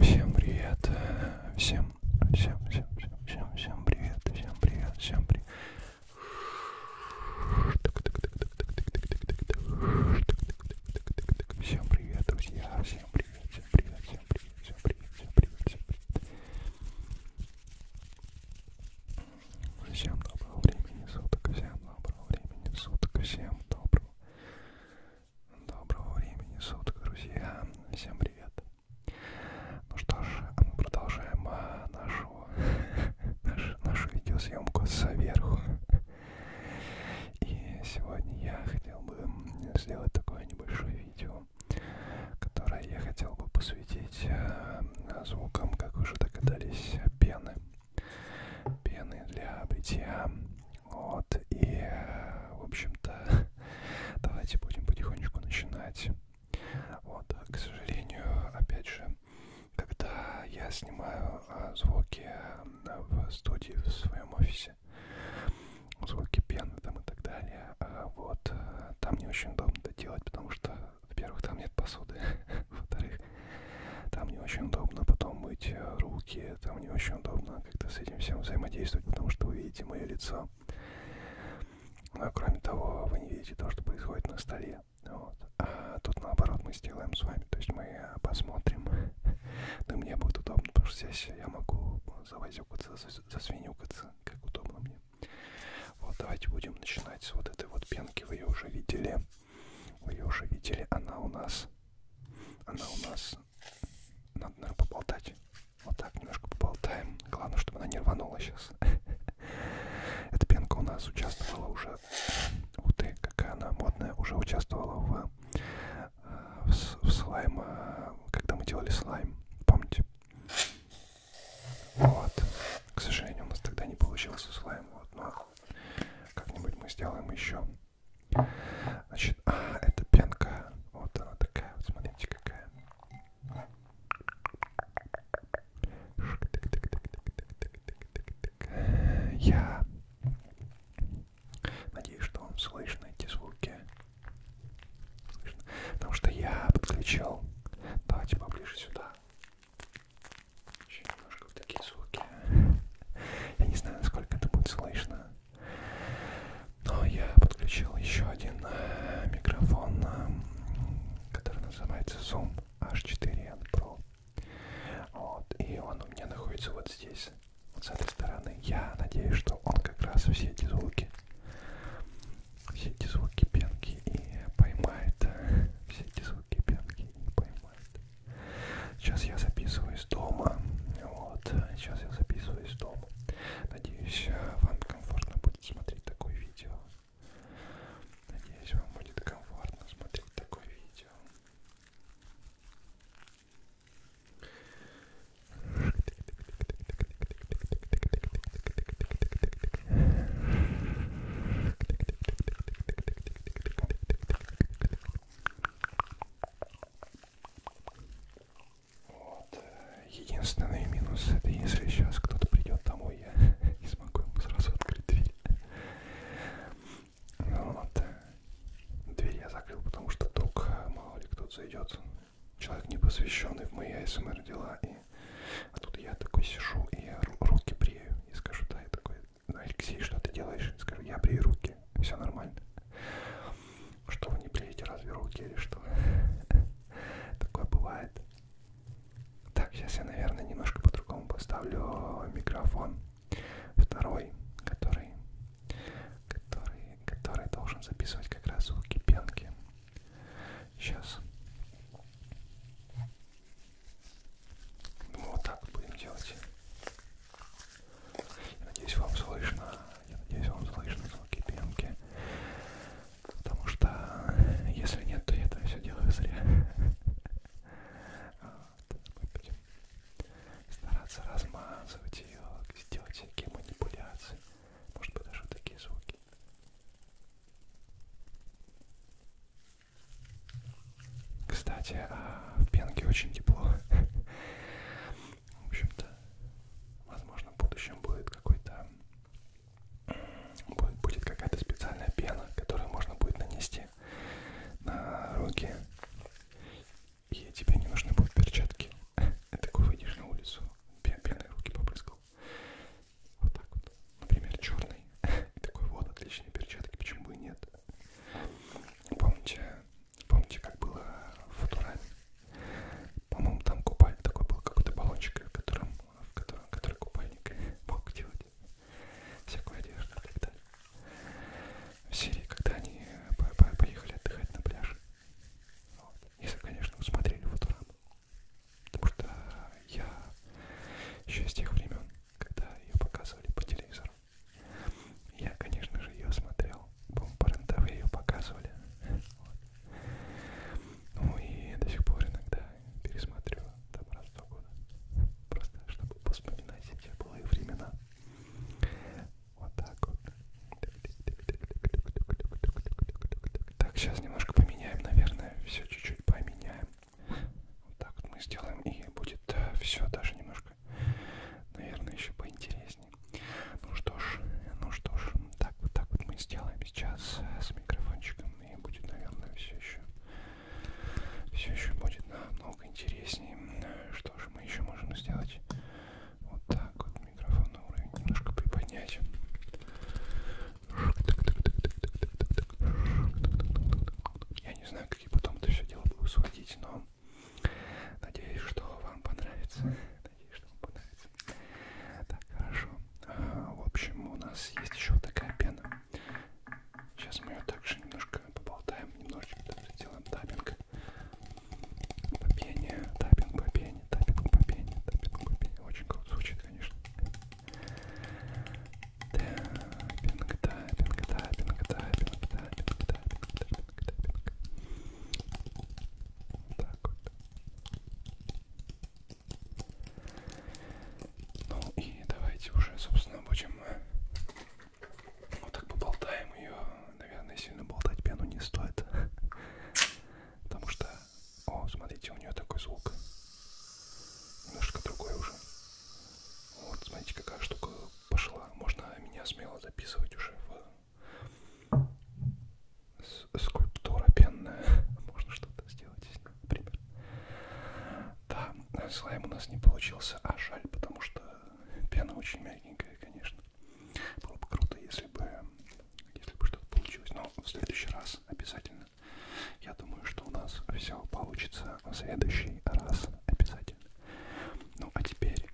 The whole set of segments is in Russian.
Всем привет, всем, всем, всем, всем, всем, всем привет, всем привет, всем привет. Всем привет, друзья, всем привет, всем привет, всем привет, всем привет, всем привет, всем привет. Всем доброго времени суток, всем доброго. Доброго времени суток всем, доброго, доброго времени суток, друзья, всем привет. Ну что ж, мы продолжаем а, нашу, нашу, нашу видеосъемку сверху. И сегодня я хотел бы сделать такое небольшое видео, которое я хотел бы посвятить а, звукам, как уже догадались, пены пены для бритья. Вот, и, в общем-то, давайте будем потихонечку начинать. Вот, а, к сожалению, опять же, когда я снимаю а, звуки а, в студии, в своем офисе, звуки пены там и так далее, вот, там не очень удобно это делать, потому что во-первых, там нет посуды, во-вторых, там не очень удобно потом мыть э, руки, там не очень удобно как-то с этим всем взаимодействовать, потому что вы видите мое лицо. Но, а кроме того, вы не видите то, что происходит на столе. Вот. А тут, наоборот, мы сделаем с вами, то есть мы посмотрим. Ну, мне будет удобно, потому что здесь я могу завозюкаться, засвинюкаться, как удобно мне. Вот, давайте будем начинать с вот этой вот пенки, вы ее уже видели. Вы ее уже видели, она у нас, она у нас, надо, наверное, поболтать. Вот так немножко поболтаем. Главное, чтобы она не рванула сейчас. Эта пенка у нас участвовала уже, ух ты, какая она модная, уже участвовала в, э, в, в слайм, э, когда мы делали слайм, помните? Вот. К сожалению, у нас тогда не получился слайм. Вот, но как-нибудь мы сделаем еще. Значит, а, это пенка. Вот она такая. Вот смотрите, какая. Я надеюсь, что вам слышно эти звуки. Слышно. Потому что я подключил. Давайте поближе сюда. Еще немножко вот такие звуки. Я не знаю, насколько это будет слышно. Но я подключил еще один э, микрофон, э, который называется Zoom H4n Pro. Вот, и он у меня находится вот здесь, вот с этой стороны. Я надеюсь, что он как раз все эти звуки, все эти звуки пенки и поймает. Э, все эти звуки пенки и поймает может. Сейчас я записываюсь дома. Вот, сейчас я записываюсь дома. Надеюсь, э, вам комфортно будет смотреть такое видео. Надеюсь, вам будет комфортно смотреть такое видео. Вот. Э, единственный минус это если сейчас кто-то придет домой, я не смогу ему сразу открыть дверь. Ну вот. Э, дверь я закрыл, потому что вдруг мало ли кто-то зайдет. Человек не посвященный в мои АСМР эм дела и а тут я такой сижу и я руки брею. И скажу, да, я такой, ну, Алексей, что ты делаешь? И скажу, я брею руки, все нормально. Что вы не бреете, разве руки или что? Такое бывает. Так, сейчас я, наверное, немножко по-другому поставлю микрофон. Второй, который, который, который должен записывать как раз звуки пенки. Сейчас. Мы вот так будем делать. Я надеюсь, вам слышно. Я надеюсь, вам слышно звуки пенки. Потому что если нет, то я это все делаю зря. Вот. Мы будем стараться размазывать ее, сделать всякие манипуляции. Может быть, даже вот такие звуки. Кстати, а в Пенге очень тепло. В общем-то, возможно, в будущем будет какой-то будет какая-то специальная пена, которую можно будет нанести на руки. И тебе не нужны будут перчатки. Ты такой выйдешь на улицу, пеной руки попрыскал. Вот так вот. Например, черный. И такой вот отличные перчатки, почему бы и нет. Помните, помните, как было в Футураме? По-моему, там купальник такой был, какой-то баллончик, в котором, в котором который купальник мог делать всякую одежду и так далее. В Сирии, когда они по -по поехали отдыхать на пляж. Вот. Если, конечно, смотрели Футураму. Потому что я еще с тех времен, когда ее показывали по телевизору, я, конечно же, ее смотрел. По-моему, по РЕН-ТВ ее показывали. Вот. Ну и до сих пор иногда пересмотрю там раз в два года. Просто чтобы вспоминать эти былые времена. Вот так вот. Так, сейчас немножко поменяем, наверное, все чуть-чуть поменяем. Вот так вот мы сделаем, и будет э, все даже немножко, наверное, еще поинтереснее. Ну что ж, ну что ж, так вот так вот мы сделаем сейчас э, с микрофончиком, и будет, наверное, все еще все еще будет намного интереснее. Что же мы еще можем сделать? Вот так вот микрофон на уровень немножко приподнять. Я не знаю, какие потом это все дело буду сводить, но надеюсь, что вам понравится. Надеюсь, что вам понравится. Так, хорошо. А, в общем, у нас есть еще такая пена. Сейчас мы ее также немножко поболтаем, немножечко даже сделаем таппинг по пене, таппинг по пене, таппинг по пене, таппинг по пене. Очень круто звучит, конечно. Тэппинг, таппинг, таппинг, таппинг, таппинг, таппинг, таппинг, таппинг. Так вот. Ну и давайте уже, собственно, будем э, вот так поболтаем ее. Наверное, сильно болтать пену не стоит. Потому что о, смотрите, у нее такой звук. Немножко другой уже. Вот, смотрите, какая штука пошла. Можно меня смело записывать уже в скульптура пенная. Можно что-то сделать здесь, например. Да, слайм у нас не получился, а жаль, потому что пена очень мягенькая, конечно. Было бы круто, если бы, если бы что-то получилось. Но в следующий раз обязательно обязательно. Я думаю, что у нас все получится в следующий раз обязательно. Ну а теперь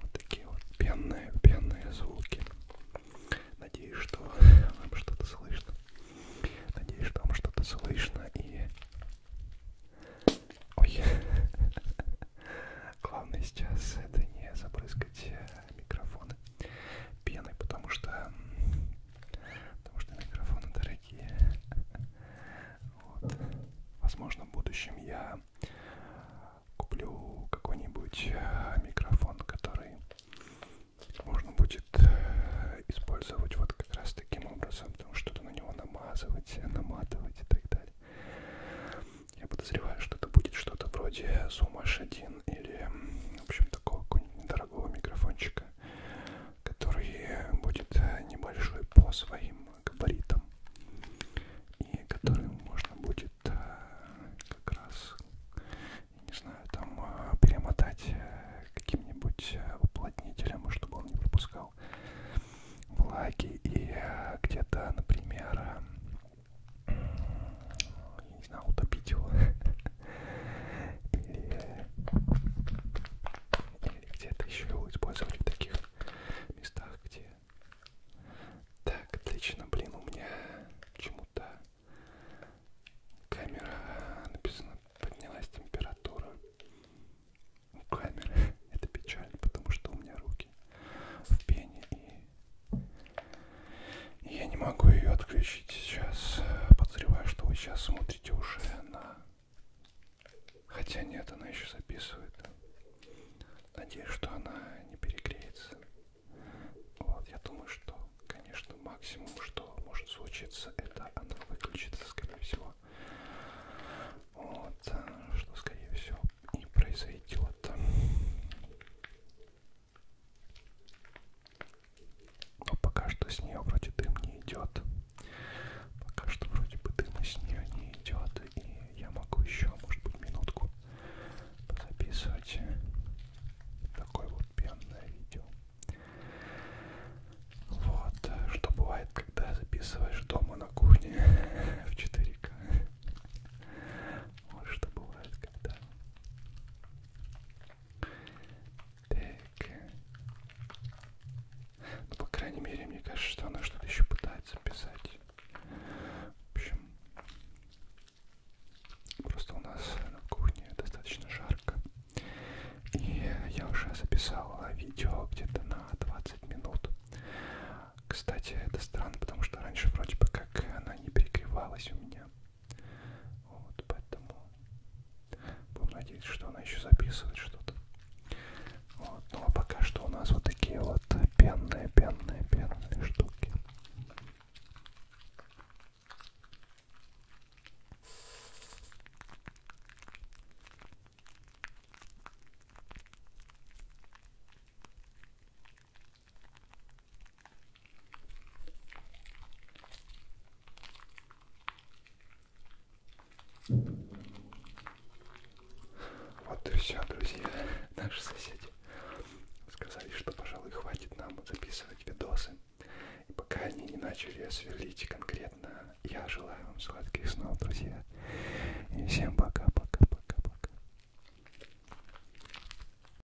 вот такие вот пенные, пенные звуки. Надеюсь, что вам что-то слышно. Надеюсь, что вам что-то слышно и... Ой. Главное сейчас это не забрызгать микрофоны пеной, потому что, потому что микрофоны дорогие. Вот. Возможно, в будущем я куплю какой-нибудь э, микрофон, который можно будет э, использовать вот как раз таким образом, потому что-то на него намазывать, наматывать и так далее. Я подозреваю, что это будет что-то вроде Zoom H1 магазин или, в общем, такого какого-нибудь недорогого микрофончика, который будет э, небольшой по своим габаритам и которым можно будет э, как раз, не знаю, там э, перемотать каким-нибудь уплотнителем, чтобы он не пропускал влаги и где-то, например, не знаю, утопить его. Или, или где-то еще его использовать в таких местах, где... Так, отлично, блин, у меня чему-то камера написано, поднялась температура у камеры. Это печально, потому что у меня руки в пене и я не могу ее отключить сейчас. Подозреваю, что вы сейчас смотрите уже на... Хотя нет, она еще записывает. Надеюсь, что она не перегреется. Вот, я думаю, что, конечно, максимум, что может случиться, это она выключится, скорее всего. Вот, э, что, скорее всего, и произойдет. Но пока что с нее вроде дым не идет. Пока что вроде бы дыма с нее не идет. И я могу еще, может быть, минутку записывать такое вот пенное видео. Вот, что бывает, когда записываешь дома на кухне в 4К. Вот что бывает, когда так. Ну, по крайней мере, мне кажется, что она что-то еще пытается писать. В общем, просто у нас на кухне достаточно жарко. И я уже записала видео где-то на 20 минут. Кстати, это странно, потому что раньше вроде бы как она не перегревалась у меня. Вот, поэтому будем надеяться, что она еще записывает что-то. Вот, ну а пока что у нас вот такие вот пенные, пенные, пенные штуки. Вот и все, друзья, наши соседи сказали, что, пожалуй, хватит нам записывать видосы. И пока они не начали сверлить конкретно, я желаю вам сладких снов, друзья. И всем пока-пока-пока-пока.